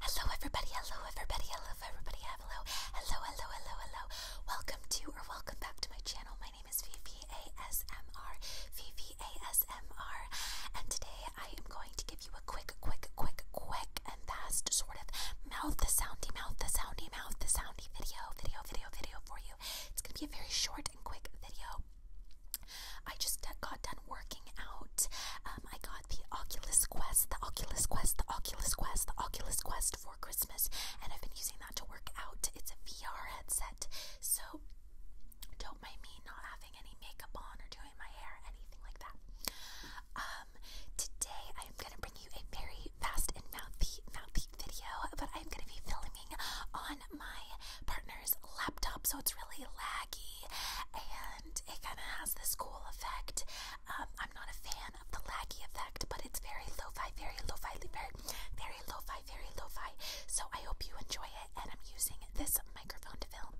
Hello everybody, hello everybody, hello everybody, hello, hello, hello, hello, hello. Welcome to or welcome back to my channel. My name is VVASMR, VVASMR, and today I am going to give you a quick, quick, quick, quick and fast sort of mouth the soundy, mouth the soundy, mouth the soundy video, video, video, video for you. It's gonna be a very short and quick video. I just got done working out. Um, I got the Oculus Quest, the Oculus Quest, the Oculus Quest, the Oculus Quest for Christmas, and I've been using that to work out. It's a VR headset, so don't mind me not having any makeup on or doing my hair, anything like that. Um, today I am gonna bring you a very fast and mouthy, mouthy video, but I'm gonna be filming on my partner's laptop, so it's really laggy and it kind of has this cool effect. Um, I'm not a fan of the laggy effect, but it's very lo-fi, very lo-fi, very, very lo-fi, very lo-fi. So I hope you enjoy it, and I'm using this microphone to film.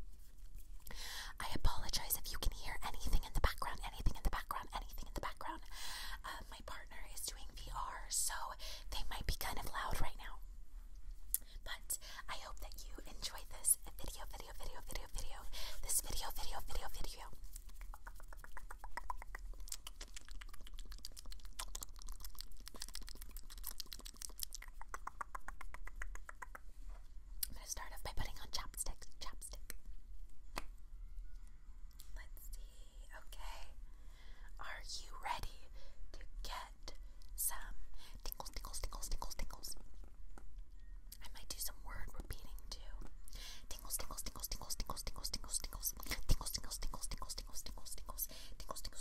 I apologize if you can hear anything in the background, anything in the background, anything in the background. Uh, my partner is doing VR, so they might be kind of loud right now. But I hope that you enjoyed this video, video, video, video, video, this video, video, video, video. I'm gonna start off by putting on chopsticks, chopstick. Let's see, okay. Are you ready to get get some tingles, tingles, tingles, tingles, tingles. I might do some word repeating too. Tingles, tingles, tingles, tingles, tingles, tingles, tingles, tingles, tingles, tingles, tingles, tingles, tingles, tingles, tingles, tingles, tingles,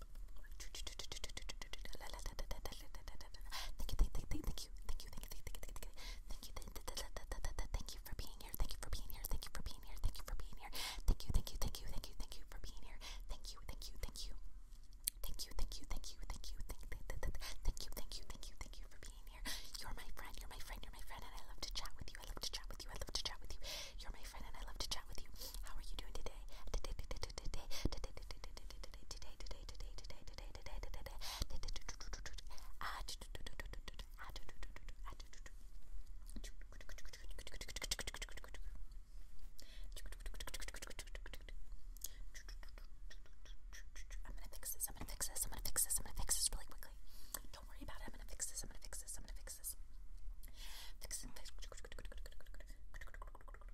Thank you, thank you, thank you, thank you, thank you, thank you, thank you for being here. Thank you for being here. Thank you for being here. Thank you for being here. Thank you, thank you, thank you, thank you, thank you for being here. Thank you, thank you, thank you, thank you, thank you, thank you, thank you, thank you, thank you, thank you, thank you, thank you for being here. You're my friend. You're my friend. You're my friend, and I love to chat with you. I love to chat with you. I love to chat with you. You're my friend, and I love to chat with you. How are you doing today? Today, today, today, today, today, today today, today, today, today, today, today, today, today, I'm gonna fix this, I'm gonna fix this, I'm gonna fix this, I'm gonna fix this really quickly. Don't worry about it, I'm gonna fix this, I'm gonna fix this, I'm gonna fix this. Fix it, fix it.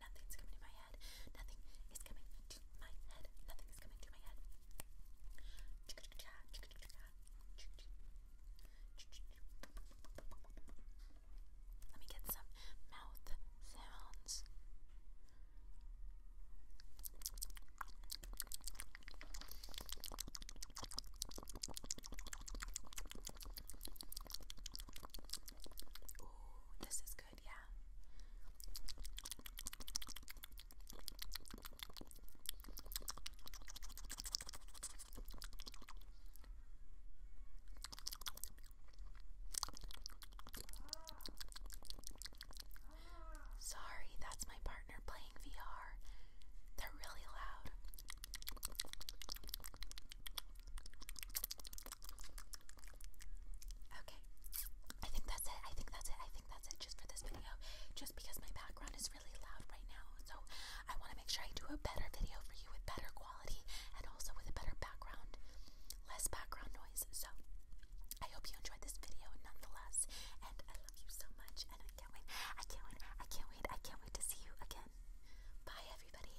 Nothing's coming to my head. Nothing is coming to my head. Nothing is coming to my head. Let me get some mouth sounds. Ooh, this is good, yeah. Sorry, that's my partner playing VR. They're really loud. Okay. I think that's it. I think that's it. I think that's it just for this video. Just because my background is really loud right now. So I want to make sure I do a better video for you with better quality and also with a better background, less background noise. So I hope you enjoyed this video nonetheless. And I love you so much. And I can't wait. I can't wait. I can't wait. I can't wait to see you again. Bye, everybody.